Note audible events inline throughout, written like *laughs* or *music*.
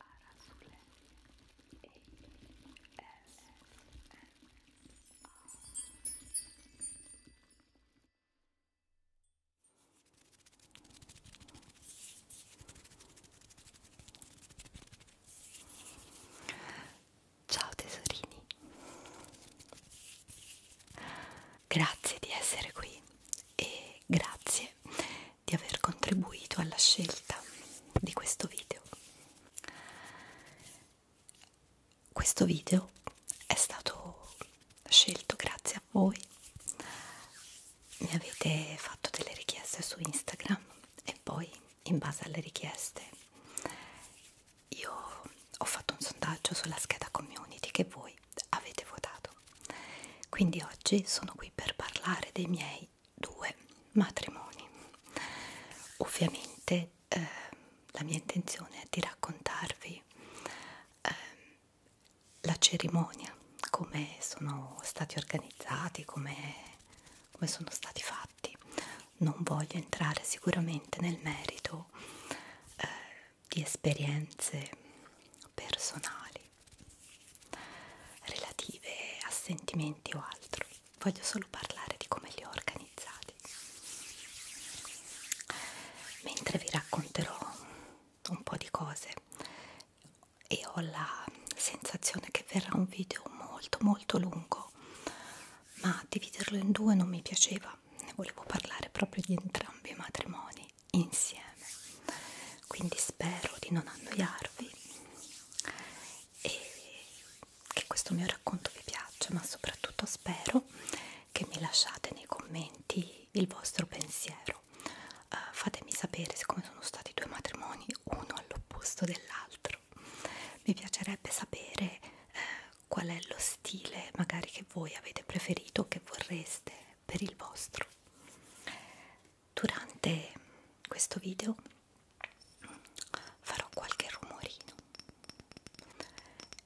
Arasule e S Ciao tesorini. Grazie di essere qui e grazie di aver contribuito alla scelta di questo video. Questo video è stato scelto grazie a voi, mi avete fatto delle richieste su Instagram e poi in base alle richieste io ho fatto un sondaggio sulla scheda community che voi avete votato. Quindi oggi sono qui per parlare dei miei due matrimoni. Ovviamente eh, la mia intenzione è di raccontarvi eh, la cerimonia, come sono stati organizzati, come, come sono stati fatti. Non voglio entrare sicuramente nel merito eh, di esperienze personali relative a sentimenti o altro. Voglio solo parlare di come li ho organizzati. Mentre vi racconterò un po' di cose e ho la sensazione che verrà un video molto molto lungo, ma dividerlo in due non mi piaceva, ne volevo parlare proprio di entrambi i matrimoni insieme quindi spero di non annoiarvi e che questo mio racconto vi piaccia ma soprattutto spero che mi lasciate nei commenti il vostro pensiero uh, fatemi sapere siccome sono stati due matrimoni uno all'opposto dell'altro mi piacerebbe sapere eh, qual è lo stile magari che voi avete preferito o che vorreste per il vostro. Durante questo video farò qualche rumorino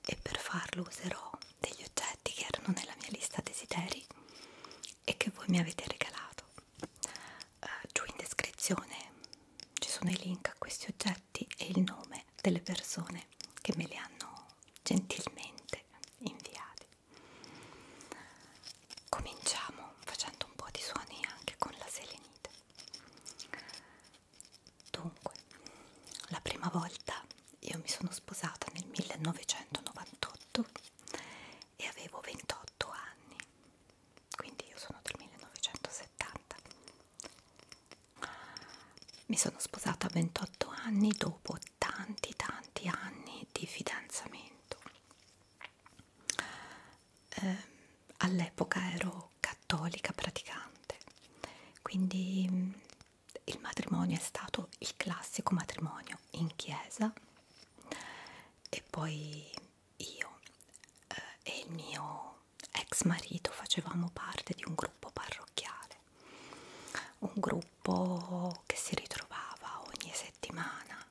e per farlo userò degli oggetti che erano nella mia lista desideri e che voi mi avete regalato. Uh, giù in descrizione ci sono i link a questi oggetti e il nome delle persone che me li hanno gentilmente inviati. Cominciamo facendo un po' di suoni anche con la selenite. Dunque, la prima volta io mi sono sposata nel 1998 e avevo 28 anni, quindi io sono del 1970 mi sono sposata a 28 anni dopo tanti tanti anni di fidanzamento eh, all'epoca ero cattolica praticante quindi mm, il matrimonio è stato il classico matrimonio in chiesa e poi io eh, e il mio ex marito facevamo parte di un gruppo parrocchiale un gruppo che si ritrovava ogni settimana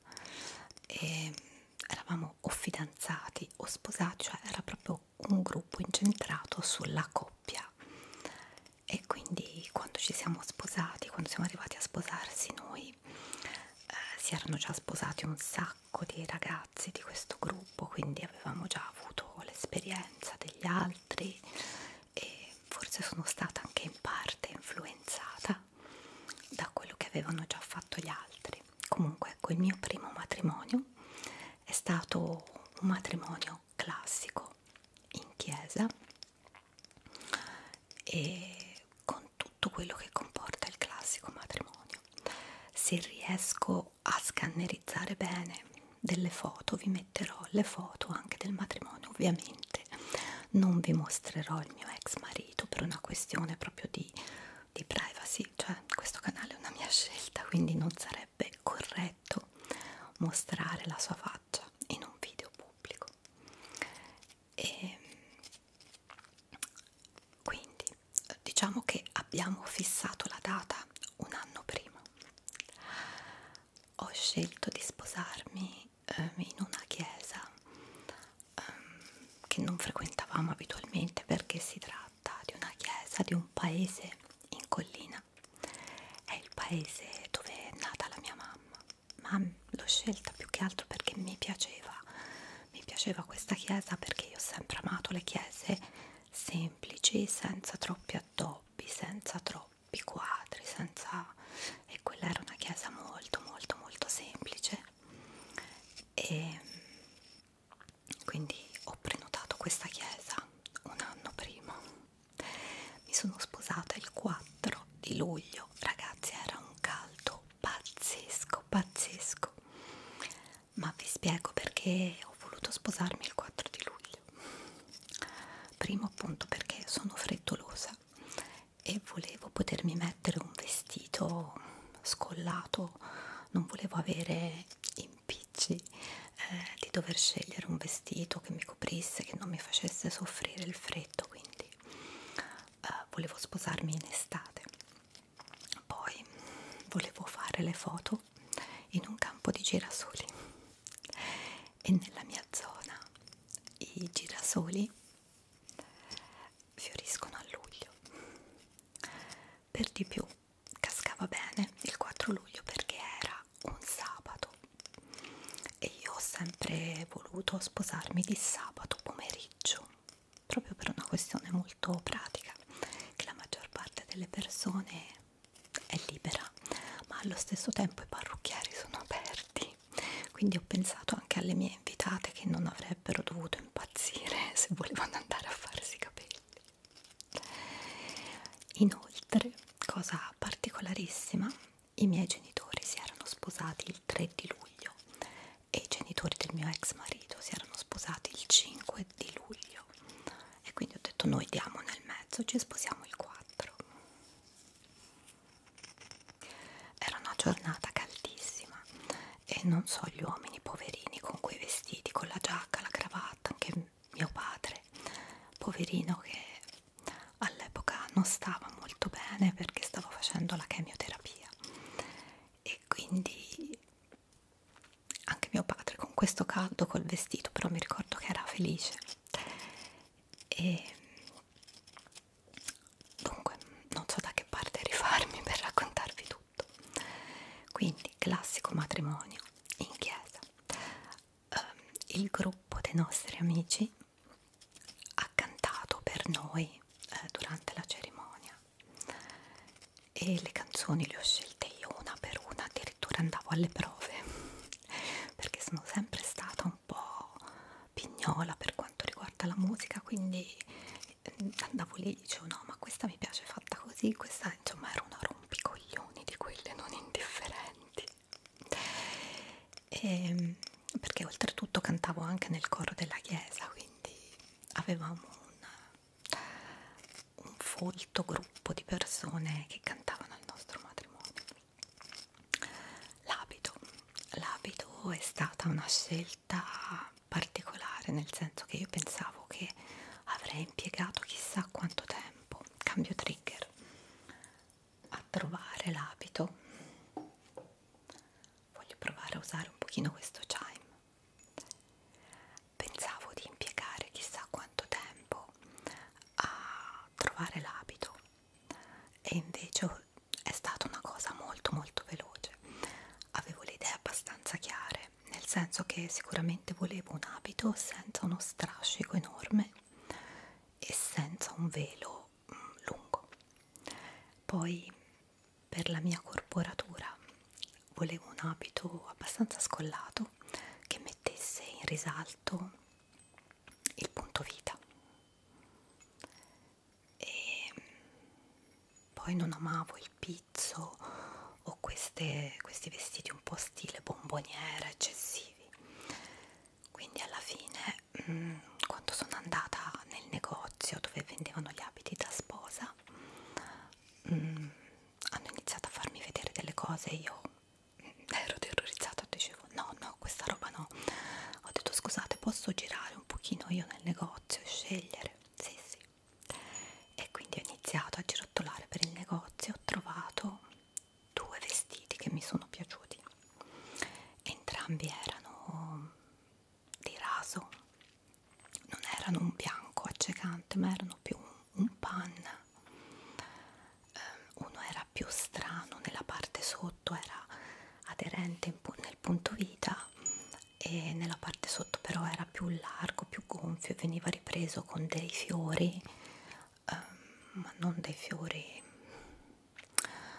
e ehm, eravamo o fidanzati o sposati, cioè era proprio un gruppo incentrato sulla coppia e quindi quando ci siamo sposati, quando siamo arrivati a sposarsi noi eh, si erano già sposati un sacco di ragazzi di questo gruppo, quindi avevamo già avuto l'esperienza degli altri e forse sono stata anche in parte influenzata da quello che avevano già fatto gli altri. Comunque, ecco, il mio primo matrimonio è stato un matrimonio classico in chiesa e con tutto quello che comporta il classico matrimonio. Se riesco a scannerizzare bene delle foto vi, metterò le foto anche del matrimonio ovviamente non vi mostrerò il mio ex marito per una questione proprio di, di privacy cioè questo canale è una mia scelta quindi non sarebbe corretto mostrare la sua faccia in un video pubblico e ehm, quindi diciamo che abbiamo fissato la data un anno prima ho scelto di sposarmi eh, in una chiesa eh, che non frequentavamo abitualmente perché si tratta di una chiesa di un paese in collina è il paese dove è nata la mia mamma ma l'ho scelta più che altro perché mi piaceva mi piaceva questa chiesa perché io ho sempre amato le chiese semplici senza troppi attori troppi, senza troppi quadri, senza... e quella era una chiesa molto molto molto semplice e quindi ho prenotato questa chiesa un anno prima mi sono sposata il 4 di luglio ragazzi era un caldo pazzesco pazzesco ma vi spiego perché ho voluto sposarmi il 4 di luglio sbaglio primo appunto perché sono frettolosa e volevo potermi mettere un vestito scollato non volevo avere impicci eh, di dover scegliere un vestito che mi coprisse che non mi facesse soffrire il freddo quindi eh, volevo sposarmi in estate poi volevo fare le foto in un campo di girasoli e nella mia zona i girasoli fioriscono a luglio per di più cascava bene il 4 luglio perché era un sabato e io ho sempre voluto sposarmi di sabato pomeriggio proprio per una questione molto pratica che la maggior parte delle persone è libera ma allo stesso tempo i parrucchieri sono aperti quindi ho pensato anche alle mie invitate che non avrebbero dovuto impazzire *laughs* se volevano andare a farsi i capelli inoltre cosa particolarissima i miei genitori si erano sposati il 3 di luglio e i genitori del mio ex marito si erano sposati il 5 di luglio e quindi ho detto noi diamo nel mezzo, ci sposiamo il 4 era una giornata caldissima e non so gli uomini poverini con quei vestiti, con la giacca, la cravatta, anche mio padre poverino che all'epoca non stava molto bene perché stava facendo la chemioterapia e quindi anche mio padre con questo caldo col vestito però mi ricordo che era felice e dunque non so da che parte rifarmi per raccontarvi tutto quindi classico matrimonio in chiesa um, il gruppo dei nostri amici ha cantato per noi eh, durante la cerimonia e le canzoni le ho scelte io una per una di addirittura andavo alle prove perché sono sempre stata un po' pignola per quanto riguarda la musica quindi eh, andavo lì e dicevo no ma questa mi piace fatta così questa insomma era una rompicoglioni di quelle non indifferenti e, ehm, perché oltretutto cantavo anche nel coro della chiesa quindi avevamo una, un folto gruppo di persone che cantavano il nostro matrimonio. L'abito, l'abito è stata una scelta particolare, nel senso che io pensavo che avrei impiegato chissà quanto tempo, cambio trigger, a trovare l'abito. Voglio provare a usare un pochino questo chime pensavo di impiegare chissà quanto tempo a trovare l'abito e invece è stata una cosa molto molto veloce avevo le idee abbastanza chiare nel senso che sicuramente volevo un abito senza uno strascico enorme e senza un velo mm, lungo poi per la mia corporatura volevo un abito abbastanza scollato appunto che mettesse in risalto il punto vita e mm, poi non amavo il pizzo o queste, questi vestiti un po' stile bomboniera eccessivi quindi alla fine mh, mm, quando sono andata nel negozio dove vendevano gli abiti da sposa mh, mm, hanno iniziato a farmi vedere delle cose io ero terrorizzata, dicevo no, no, questa roba no. Ho detto scusate, posso girare un pochino io nel negozio e scegliere? Sì, sì. E quindi ho iniziato a girottolare per il negozio, ho trovato due vestiti che mi sono piaciuti. Entrambi erano di raso, non erano un bianco accecante, ma erano più un, un panna um, uno era più strano nella parte sotto era aderente nel punto vita e nella parte sotto però era più largo più gonfio e veniva ripreso con dei fiori um, ma non dei fiori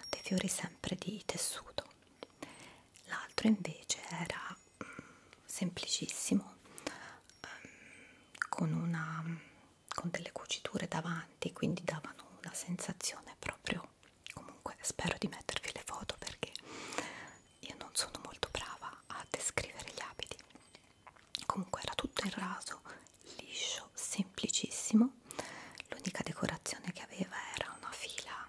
dei fiori sempre di tessuto l'altro invece era um, semplicissimo um, con, una, con delle cuciture davanti quindi davano una sensazione proprio comunque spero di mettervi le foto perché io non sono molto brava a descrivere gli abiti comunque era tutto in raso liscio semplicissimo l'unica decorazione che aveva era una fila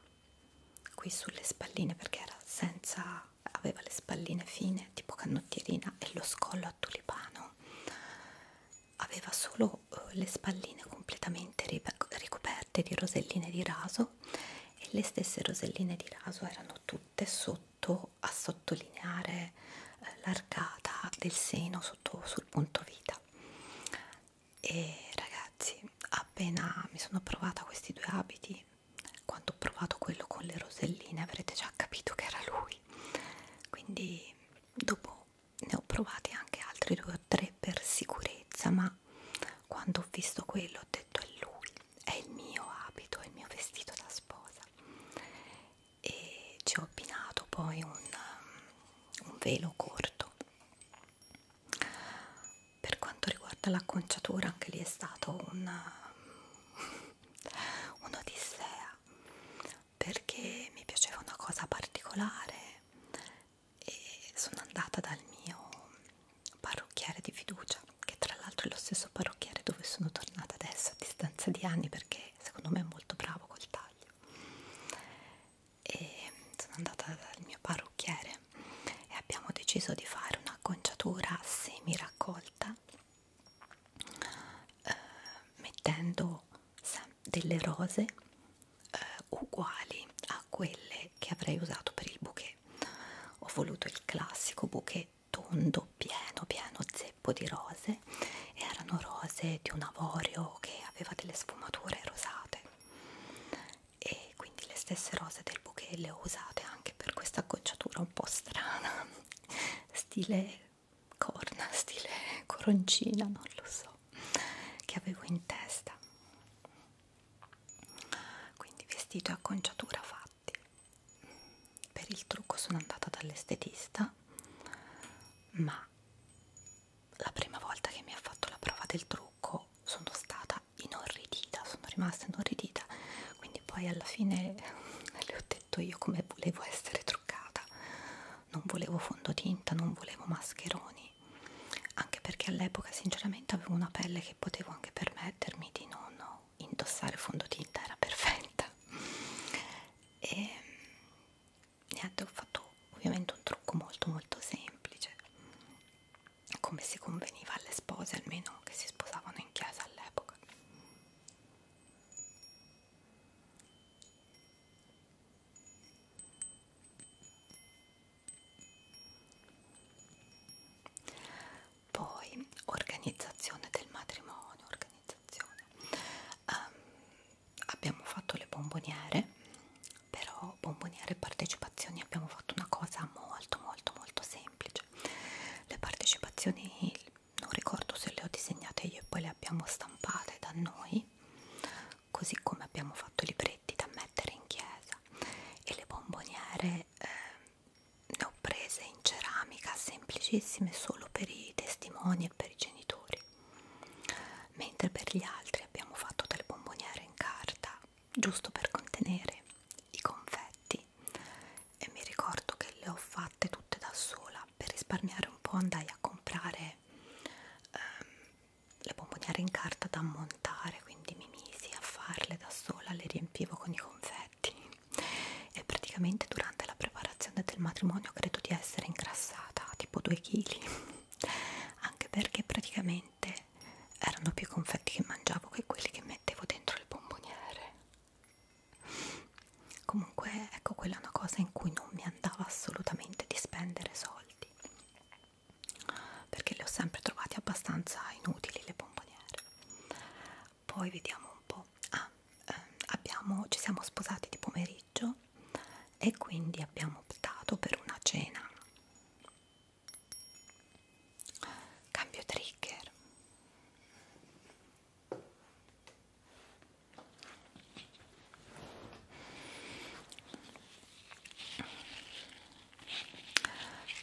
qui sulle spalline perché era senza aveva le spalline fine tipo canottierina e lo scollo a tulipano aveva solo eh, le spalline completamente ricoperte di roselline di raso e le stesse roselline di raso erano tutte sotto a sottolineare eh, l'arcata del seno sotto sul punto vita e ragazzi appena mi sono provata questi due abiti quando ho provato quello con le roselline avrete già capito che era lui quindi dopo ne ho provati anche altri due o tre per sicurezza ma quando ho visto quello ho detto è lui è il mio abito è il mio vestito da sposa e ci ho abbinato poi un, um, un velo corto per quanto riguarda l'acconciatura anche lì è stato un um, un'odissea perché mi piaceva una cosa particolare e sono andata dal mio parrucchiere di fiducia che tra l'altro è lo stesso parrucchiere dove sono tornata adesso a distanza di anni perché secondo me è molto bravo col taglio e sono andata dal mio parrucchiere e abbiamo deciso di fare un'acconciatura semi raccolta eh, mettendo delle rose eh, uguali a quelle che avrei usato per il bouquet ho voluto il classico bouquet tondo pieno pieno zeppo di rose e erano rose di un avorio che aveva delle sfumature rosate e quindi le stesse rose del bouquet le ho usate anche per questa gocciatura un po' strana stile corna, stile coroncina, non lo so, che avevo in testa. Quindi vestito e acconciatura fatti. Per il trucco sono andata dall'estetista, ma la prima volta che mi ha fatto la prova del trucco sono stata inorridita, sono rimasta inorridita, quindi poi alla fine *laughs* le ho detto io come volevo essere truccata non volevo fondotinta non volevo mascheroni anche perché all'epoca sinceramente avevo una pelle che potevo anche permettermi di non indossare fondotinta era perfetta e niente ho fatto ovviamente un trucco molto molto semplice come si conveniva alle spose almeno che si sposavano in chiesa all'epoca poi organizzazione del matrimonio, organizzazione. Um, abbiamo fatto le bomboniere, però bomboniere e partecipazioni abbiamo fatto una cosa molto molto molto semplice. Le partecipazioni non ricordo se le ho disegnate io e poi le abbiamo stampate da noi così come abbiamo fatto i libretti da mettere in chiesa e le bomboniere eh, ne ho prese in ceramica semplicissime solo per i testimoni e per i genitori mentre per gli altri abbiamo fatto delle bomboniere in carta giusto per contenere i confetti e mi ricordo che le ho fatte tutte da sola per risparmiare un po' andai a comprare ehm, le bomboniere in carta da montare quindi mi misi a farle da sola le riempivo con i confetti e praticamente durante la preparazione del matrimonio credo di essere ingrassata tipo 2 kg anche perché praticamente erano più confetti che mangiavo che quelli che mettevo dentro il bomboniere comunque ecco quella è una cosa in cui non mi andava assolutamente di spendere soldi perché le ho sempre trovate abbastanza inutili le bomboniere poi vediamo un po' ah, ehm, abbiamo, ci siamo sposati di pomeriggio e quindi abbiamo optato per una cena cambio trigger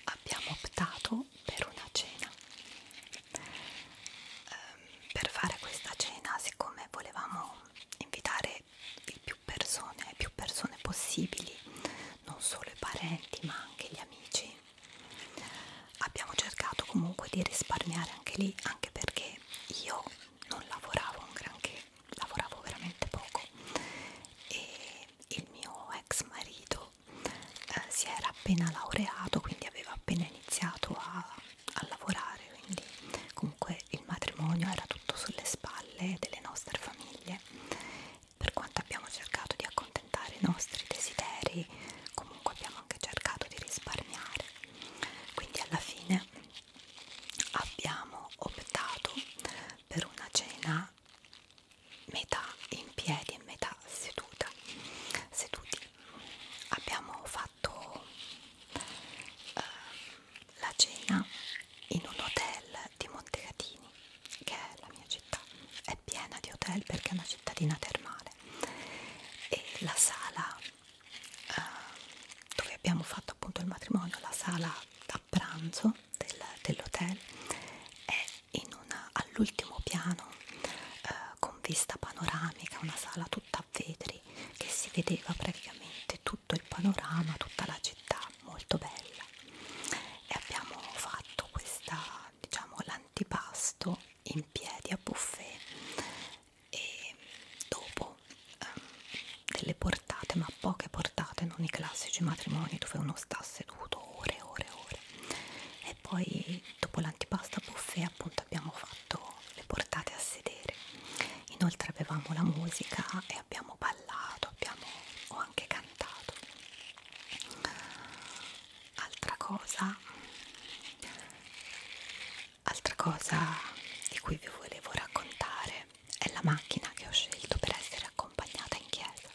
Abbiamo optato per una cena. Ehm, per fare questa cena, siccome volevamo invitare il più persone, più persone possibili, non solo i parenti ma anche gli amici, abbiamo cercato comunque di risparmiare anche lì anche perché io non lavoravo un granché lavoravo veramente poco e il mio ex marito eh, si era appena laureato quindi aveva appena iniziato a, a lavorare quindi comunque il matrimonio era tutto sulle spalle delle nostre famiglie per quanto abbiamo cercato di accompagnare accontentare i nostri desideri comunque abbiamo anche cercato di risparmiare quindi alla fine abbiamo optato per una cena metà in piedi e metà seduta seduti abbiamo fatto eh, la cena in un hotel di Montecatini che è la mia città è piena di hotel perché è una cittadina termale e la sala eh, dove abbiamo fatto appunto il matrimonio, la sala da pranzo del, dell'hotel è all'ultimo piano eh, con vista panoramica, una sala tutta a vetri che si vedeva praticamente tutto il panorama, tutta la città, molto bella e abbiamo fatto questa diciamo l'antipasto in piedi a buffet e dopo um, delle portate, ma poche portate, non i classici matrimoni dove uno sta seduto ore e ore e ore. E poi dopo l'antipasto a buffet appunto abbiamo fatto le portate a sedere. Inoltre avevamo la musica e abbiamo ballato, abbiamo ho anche cantato altra cosa altra cosa di cui vi volevo raccontare è la macchina che ho scelto per essere accompagnata in chiesa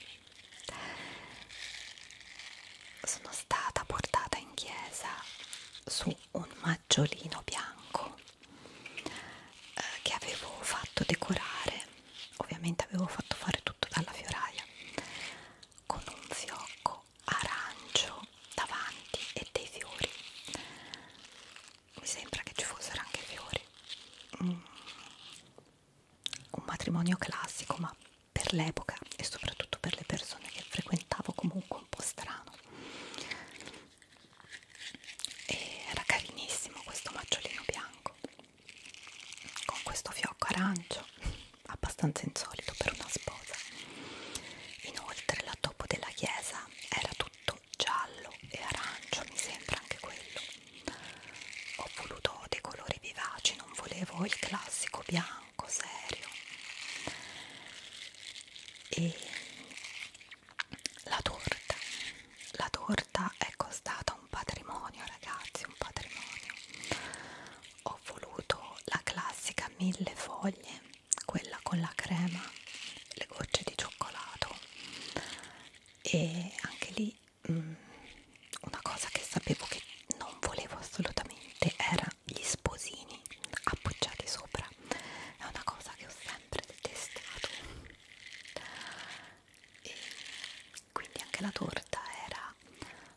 sono stata portata in chiesa su un maggiolino bianco eh, che avevo fatto decorare ovviamente avevo fatto fare tutto dalla fioraia con un fiocco arancio davanti e dei fiori mi sembra che ci fossero anche fiori mm. un matrimonio classico ma per l'epoca e soprattutto per le persone che frequentavo comunque un po' strano e era carinissimo questo maggiolino bianco con questo fiocco arancio *laughs* abbastanza insolito per una sposa inoltre la topo della chiesa era tutto giallo e arancio mi sembra anche quello ho voluto dei colori vivaci non volevo il classico bianco serio e la torta la torta è costata un patrimonio ragazzi un patrimonio ho voluto la classica mille foglie quella con la crema le gocce di cioccolato e anche lì mh, mm, una cosa che sapevo che non volevo assolutamente era gli sposini appoggiati sopra è una cosa che ho sempre detestato e quindi anche la torta era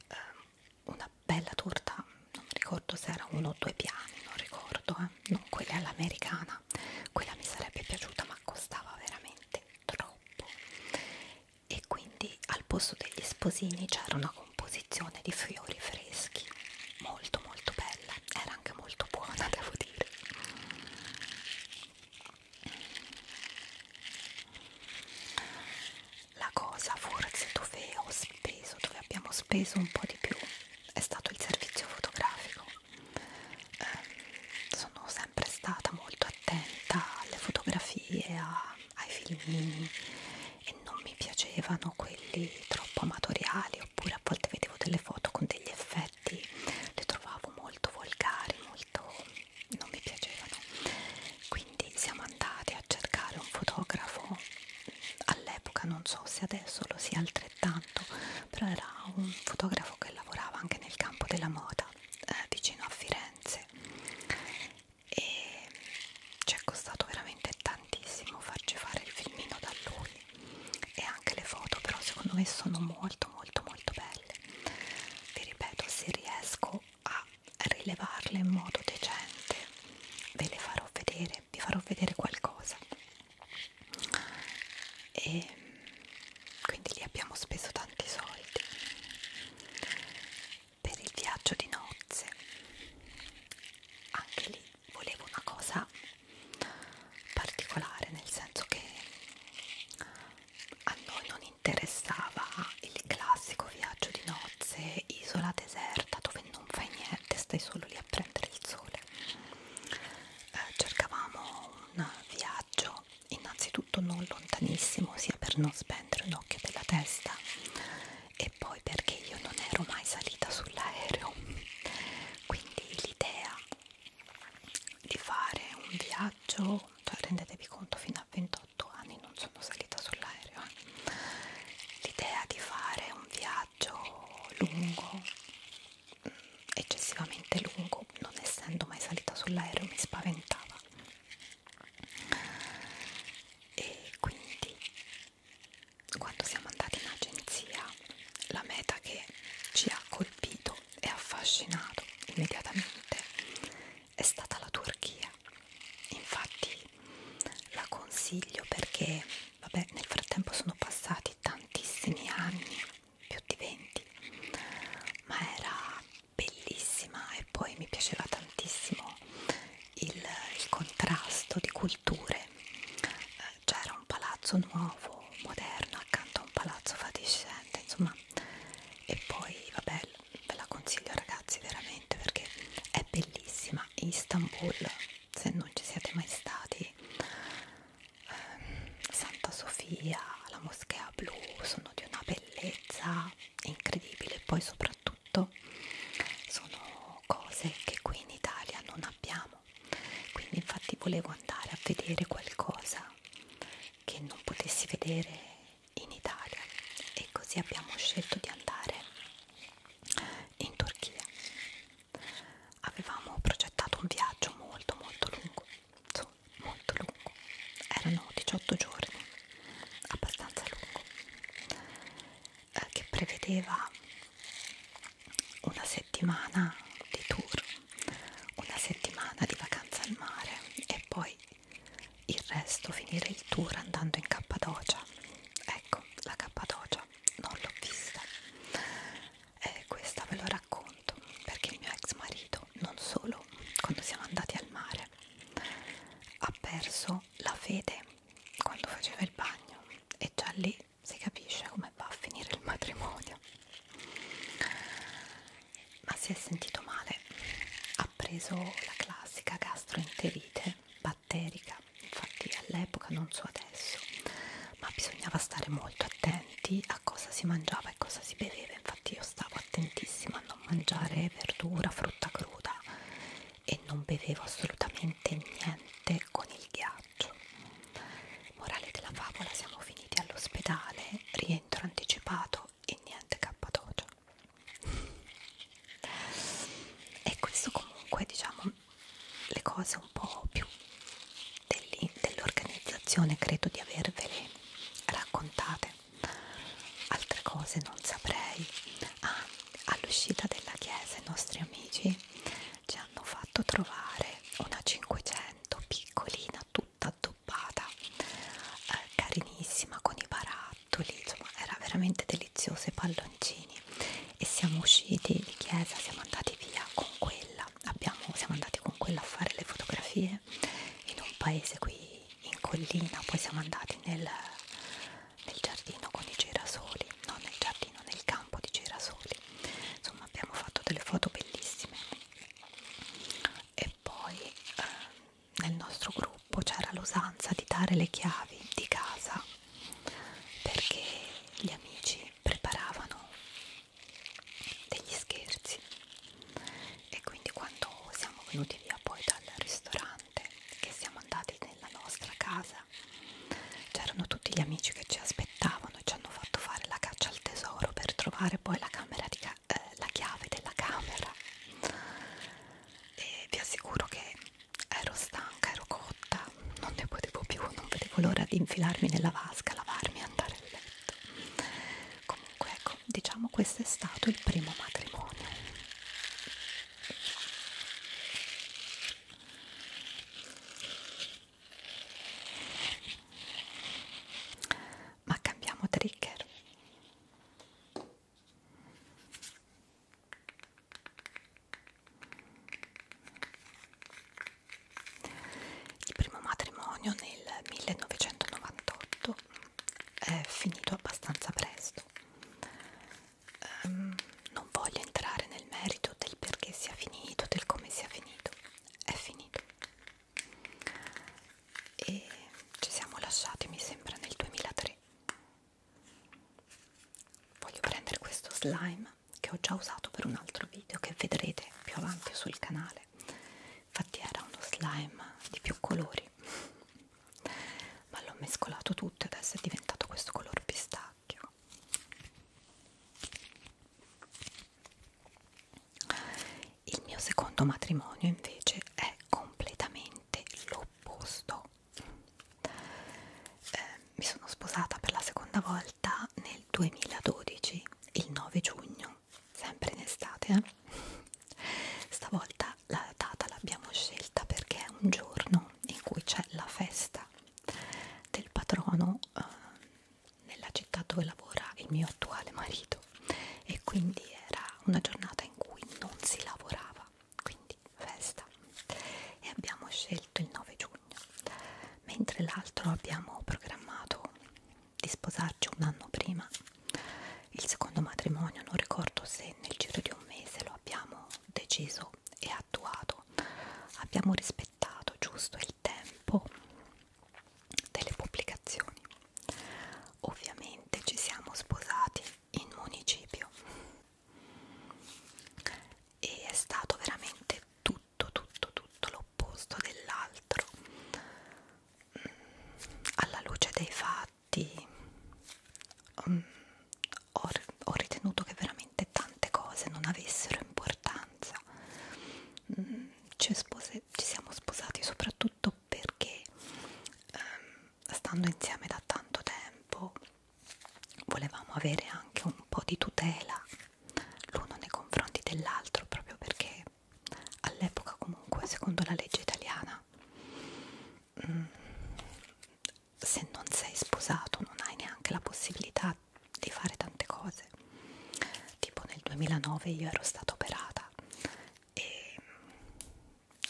eh, una bella torta, non mi ricordo se era uno o due piani, non ricordo, eh. non quella all'americana, quella mi sarebbe piaciuta ma costava veramente troppo e quindi al posto degli sposini c'era una composizione di fiori freschi molto molto bella, era anche molto buona *laughs* devo dire la cosa forse dove ho speso, dove abbiamo speso un po' di più è stato il servizio fotografico. Eh, sono sempre stata molto attenta alle fotografie, a, ai filmini e non mi piacevano quelli troppo amatoriali oppure a volte vedevo delle foto con degli effetti, le trovavo molto volgari, molto non mi piacevano quindi siamo andati a cercare un fotografo all'epoca non so se adesso lo sia altrettanto però era un fotografo che lavorava anche nel campo della moda eh, vicino a Firenze e ci è costato veramente tantissimo farci fare il filmino da lui e anche le foto però secondo me sono molto molto molto belle vi ripeto se riesco a rilevarle in modo decente ve le farò vedere vi farò vedere qualcosa e quindi lì abbiamo speso tanti soldi per il viaggio di nozze anche lì volevo una cosa particolare nel senso che a noi non interessava il classico viaggio di nozze, isola deserta dove non fai niente, stai solo lì a prendere il sole. Eh, cercavamo un viaggio innanzitutto non lontanissimo, sia per non spendere un occhio della testa e poi perché io non ero mai salita sull'aereo. Quindi l'idea di fare un viaggio, cioè rendetevi conto fino a 28 18 anni non sono salita sull'aereo eh. l'idea di fare un viaggio lungo mm, eccessivamente lungo non essendo mai salita sull'aereo mi spaventava e quindi quando siamo andati in agenzia la meta che ci ha colpito e affascinato immediatamente è stata la Turchia. Infatti la consiglio perché, vabbè, nel frattempo sono passati tantissimi anni, più di 20, ma era bellissima e poi mi piaceva tantissimo il, il contrasto di culture. Eh, c'era un palazzo nuovo, moderno, accanto a un palazzo fatiscente, insomma, e poi, vabbè, ve la consiglio ragazzi veramente perché è bellissima Istanbul se non ci siete mai stati ehm, Santa Sofia la moschea blu sono di una bellezza incredibile e poi soprattutto sono cose che qui in Italia non abbiamo quindi infatti volevo andare a vedere qualcosa che non potessi vedere in Italia e così abbiamo scelto di andare in Turchia. Avevamo progettato un viaggio molto molto lungo, insomma, molto lungo, erano 18 giorni, abbastanza lungo, eh, che prevedeva una settimana di tour, una settimana di vacanza al mare e poi il resto finire il tour andando in Cappadocia ecco la Cappadocia non l'ho vista e questa ve lo racconto perché il mio ex marito non solo quando siamo andati al mare ha perso la fede quando faceva il bagno e già lì si capisce come va a finire il matrimonio ma si è sentito male. Ha preso la classica gastroenterite batterica, infatti all'epoca, non so adesso, ma bisognava stare molto attenti a cosa si mangiava e cosa si beveva. Infatti, io stavo attentissima a non mangiare verdura, frutta cruda e non bevevo assolutamente niente con il ghiaccio. Morale della favola, siamo finiti all'ospedale, rientro anticipato e niente cappadocia e questo comunque diciamo le cose un po' più dell'organizzazione credo di avervele raccontate altre cose non saprei ah, all'uscita della chiesa i nostri amici ci hanno fatto trovare una 500 piccolina tutta addobbata eh, carinissima con i barattoli insomma era veramente deliziosa i palloncini e siamo usciti di chiesa siamo andati via con quella Abbiamo, siamo andati con quella a fare le fotografie in un paese qui in collina poi siamo andati nel, nel giardino con i girasoli non nel giardino, nel campo di girasoli insomma abbiamo fatto delle foto bellissime e poi eh, nel nostro gruppo c'era l'usanza di dare le chiavi di casa perché gli amici preparavano degli scherzi e quindi quando siamo venuti via poi dal ristorante che siamo andati nella nostra casa c'erano tutti gli amici che ci aspettavano e ci hanno fatto fare la caccia al tesoro per trovare poi la camera di eh, la chiave della camera e vi assicuro che ero stanca, ero cotta, non ne potevo più, non vedevo l'ora di infilarmi nella vasca, lavarmi e andare a letto. Comunque ecco, diciamo questo è stato il primo matrimonio. Ma cambiamo trigger. Il primo matrimonio nel 1998 è finito abbastanza presto. Um, non voglio entrare nel merito del perché sia finito, del come sia finito. È finito e ci siamo lasciati mi sembra nel 2003 voglio prendere questo slime che ho già usato per un altro video che vedrete più avanti sul canale infatti era uno slime di più colori ma l'ho mescolato tutto e adesso è diventato questo color pistacchio il mio secondo matrimonio invece è completamente l'opposto. Eh, mi sono sposata per la seconda volta nel 2012, il 9 giugno, sempre in estate. Eh? Stavolta la data l'abbiamo scelta perché è un giorno in cui c'è la festa del patrono eh, nella città dove lavora il mio attuale marito e quindi era una giornata in cui non si lavorava, quindi festa e abbiamo scelto il 9 giugno, mentre l'altro abbiamo programmato di sposarci un anno prima. Il secondo matrimonio non ricordo se nel giro di un mese lo abbiamo deciso e attuato. Abbiamo rispettato giusto il tempo delle pubblicazioni Ovviamente ci siamo sposati in municipio e è stato veramente tutto, tutto, tutto l'opposto dell'altro. Mm, alla luce dei fatti um, ho, ho ritenuto che veramente tante cose non avessero importanza. Mm, ci, spose, ci siamo sposati soprattutto soprattutto perché ehm, stando insieme da tanto tempo volevamo avere anche un po' di tutela l'uno nei confronti dell'altro proprio perché all'epoca comunque secondo la legge italiana mh, mm, se non sei sposato non hai neanche la possibilità di fare tante cose tipo nel 2009 io ero stata operata e mm,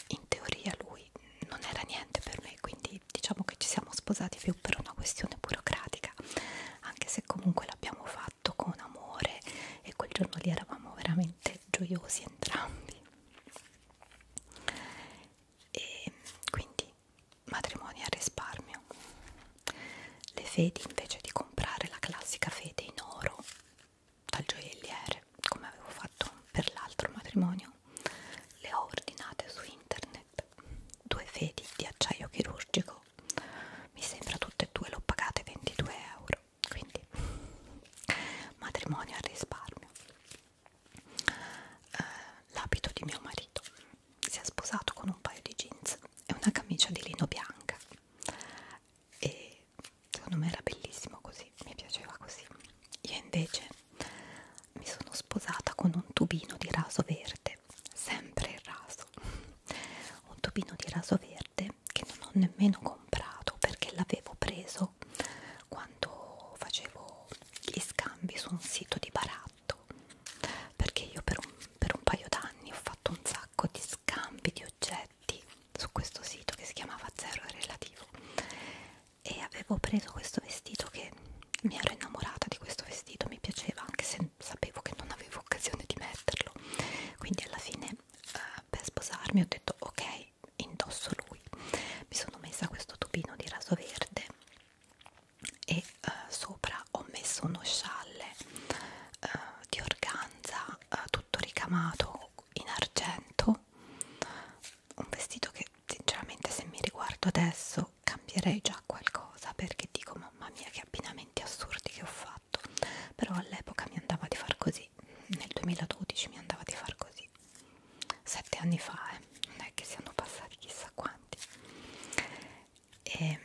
in teoria lui non era niente per me quindi diciamo che ci siamo sposati più per una questione burocratica anche se comunque l'abbiamo fatto con amore e quel giorno lì eravamo veramente gioiosi entrambi e quindi matrimonio a risparmio le fedi invece di comprare la classica fede in oro dal gioielliere come avevo fatto per l'altro matrimonio le ho ordinate su internet due fedi di acciaio chirurgico mi sembra tutte e due l'ho pagate 22 euro quindi matrimonio al risparmio eh, l'abito di mio marito si è sposato con un paio di jeans e una camicia di lino bianca e secondo me era bellissimo così, mi piaceva così. Io invece mi sono sposata con un tubino di raso verde, sempre il raso, un tubino di raso verde che non ho nemmeno comprato perché l'avevo preso quando facevo gli scambi su un sito di baratto perché io per un, per un paio d'anni ho fatto un sacco di scambi di oggetti su questo sito che si chiamava Zero Relativo e avevo preso questo vestito che mi ero innamorata di questo vestito, mi piaceva anche se sapevo che non avevo occasione di metterlo quindi alla fine eh, per sposarmi ho detto ok indosso lui mi sono messa questo tubino di raso verde e eh, sopra ho messo uno scialle eh, di organza eh, tutto ricamato in argento un vestito che sinceramente se mi riguardo adesso cambierei già qualcosa perché dico mamma mia che abbinamenti assurdi che ho fatto però all'epoca mi andava di far così nel 2012 mi andava di far così sette anni fa eh. non è che siano passati chissà quanti e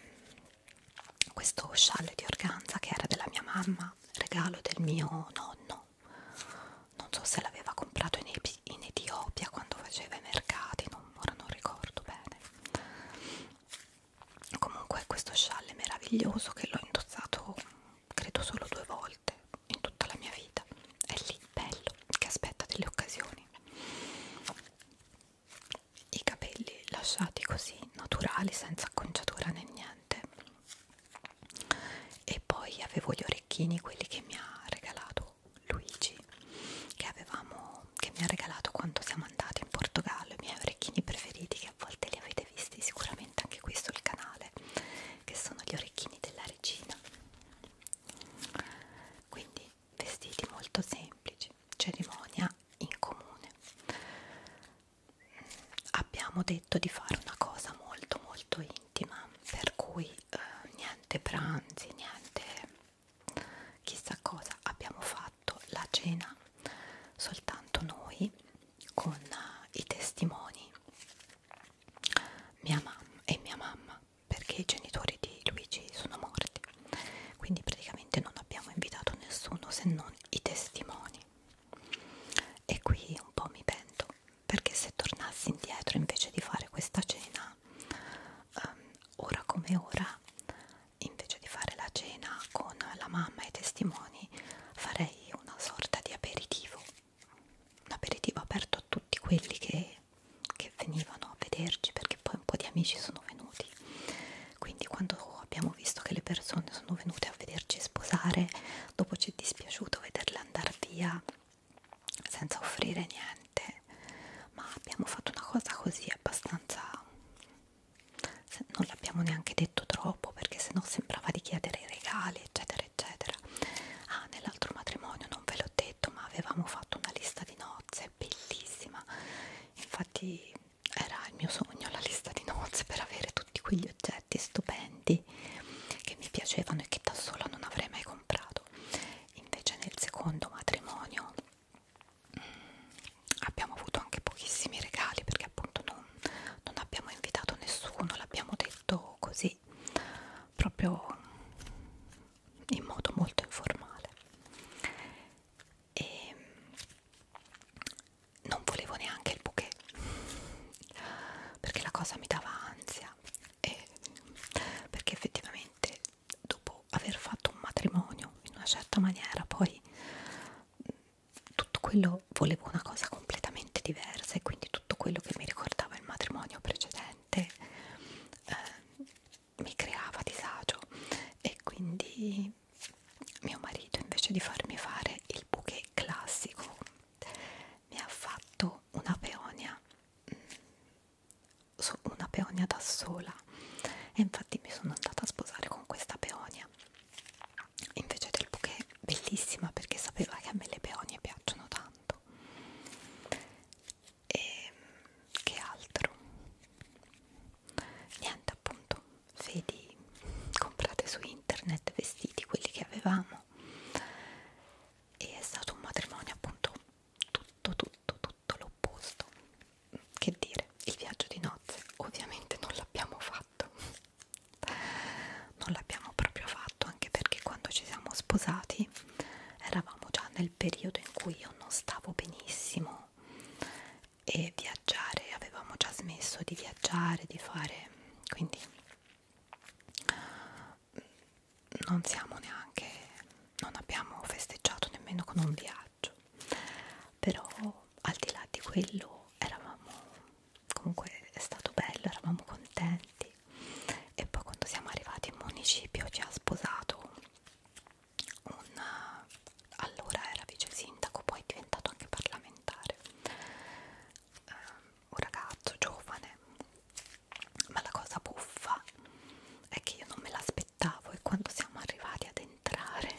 questo scialle di organza che era della mia mamma regalo del mio nonno non so se l'aveva comprato in, Epi, in Etiopia quando faceva i mercati non, ora non ricordo bene comunque questo scialle meraviglioso che l'ho indossato credo solo due volte in tutta la mia vita è lì bello che aspetta delle occasioni i capelli lasciati così naturali senza acconciatura né niente e poi avevo gli orecchini quelli che mi ha regalato Luigi che, avevamo, che mi ha regalato quando siamo andati in Portogallo i miei orecchini preferiti che a volte li avete visti sicuramente anche qui sul canale che sono gli orecchini della regina quindi vestiti molto semplici cerimonia in comune abbiamo detto di fare una cosa molto molto intima per cui eh, niente pranzi niente chissà cosa abbiamo fatto la cena soltanto noi con uh, i testimoni mia mamma e mia mamma perché i genitori di Luigi sono morti quindi praticamente non abbiamo invitato nessuno se non i testimoni e qui un po' mi pento perché se tornassi indietro invece di fare questa cena um, ora come ora invece di fare la cena con la mamma e i testimoni farei una sorta di aperitivo un aperitivo aperto a tutti quelli che, che venivano a vederci perché poi un po' di amici sono venuti quindi quando quando abbiamo visto che le persone sono venute a vederci sposare, dopo ci è dispiaciuto vederle andare via senza offrire niente, ma abbiamo fatto una cosa così abbastanza... non l'abbiamo neanche detto troppo perché sennò sembrava di chiedere i regali eccetera eccetera. Ah, nell'altro matrimonio non ve l'ho detto ma avevamo fatto una lista di nozze bellissima, infatti era il mio sogno la lista di nozze per avere tutti quegli oggetti stupendi che mi piacevano e che da sola non avrei mai comprato invece nel secondo matrimonio mh, mm, abbiamo avuto anche pochissimi regali perché appunto non, non abbiamo invitato nessuno l'abbiamo detto così proprio in modo molto informale e non volevo neanche il bouquet perché la cosa mi dava ansia e perché effettivamente dopo aver fatto un matrimonio in una certa maniera poi tutto quello volevo una cosa completamente diversa e quindi tutto quello che mi ricordava il matrimonio precedente eh, mi creava disagio e quindi mio marito invece di farmi fare il bouquet classico mi ha fatto una peonia mm, una peonia da sola e infatti mi sono andata a sposare con questa peonia invece del bouquet bellissima perché sapeva che a me le peonie piacciono tanto e che altro niente appunto vedi, comprate su internet vestiti quelli che avevamo e è stato un matrimonio appunto tutto tutto tutto l'opposto che dire il viaggio di nozze ovviamente non l'abbiamo fatto non l'abbiamo proprio fatto anche perché quando ci siamo sposati eravamo già nel periodo in cui io non stavo benissimo e viaggiare, avevamo già smesso di viaggiare, di fare, quindi non siamo neanche, non abbiamo festeggiato nemmeno con un viaggio, però al di là di quello eravamo, comunque è stato bello, eravamo contenti e poi quando siamo arrivati in municipio ci ha sposato un allora era vice sindaco, poi è diventato anche parlamentare eh, un ragazzo giovane ma la cosa buffa è che io non me l'aspettavo e quando siamo arrivati ad entrare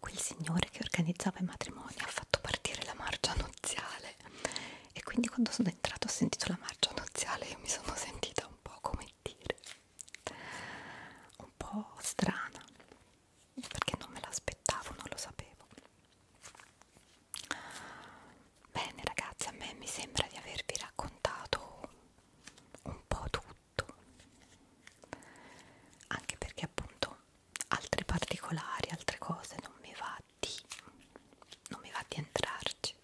quel signore che organizzava i matrimoni ha fatto partire la marcia nuziale e quindi quando sono entrato ho sentito la marcia nuziale e mi sono sentita un po' come dire un po' strana perché non me l'aspettavo, non lo sapevo. Bene ragazzi, a me mi sembra di avervi raccontato un po' tutto, anche perché appunto altri particolari, altre cose non mi va di, non mi va di entrarci.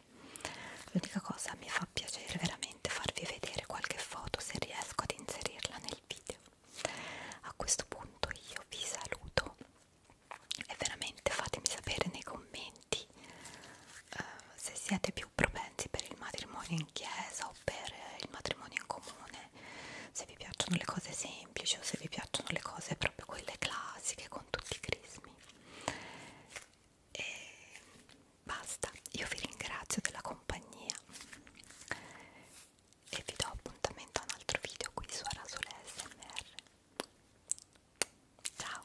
L'unica cosa mi fa piacere veramente farvi vedere qualche foto se riesco ad inserirla nel video. A questo punto io vi saluto e veramente fatemi sapere nei commenti uh, se siete più propensi per il matrimonio in chiesa o per il matrimonio in comune, se vi piacciono le cose semplici o se vi piacciono le cose proprio quelle classiche con tutti i crismi. E basta, io vi ringrazio della compagnia e vi do appuntamento a un altro video qui su Arasole SMR. Ciao!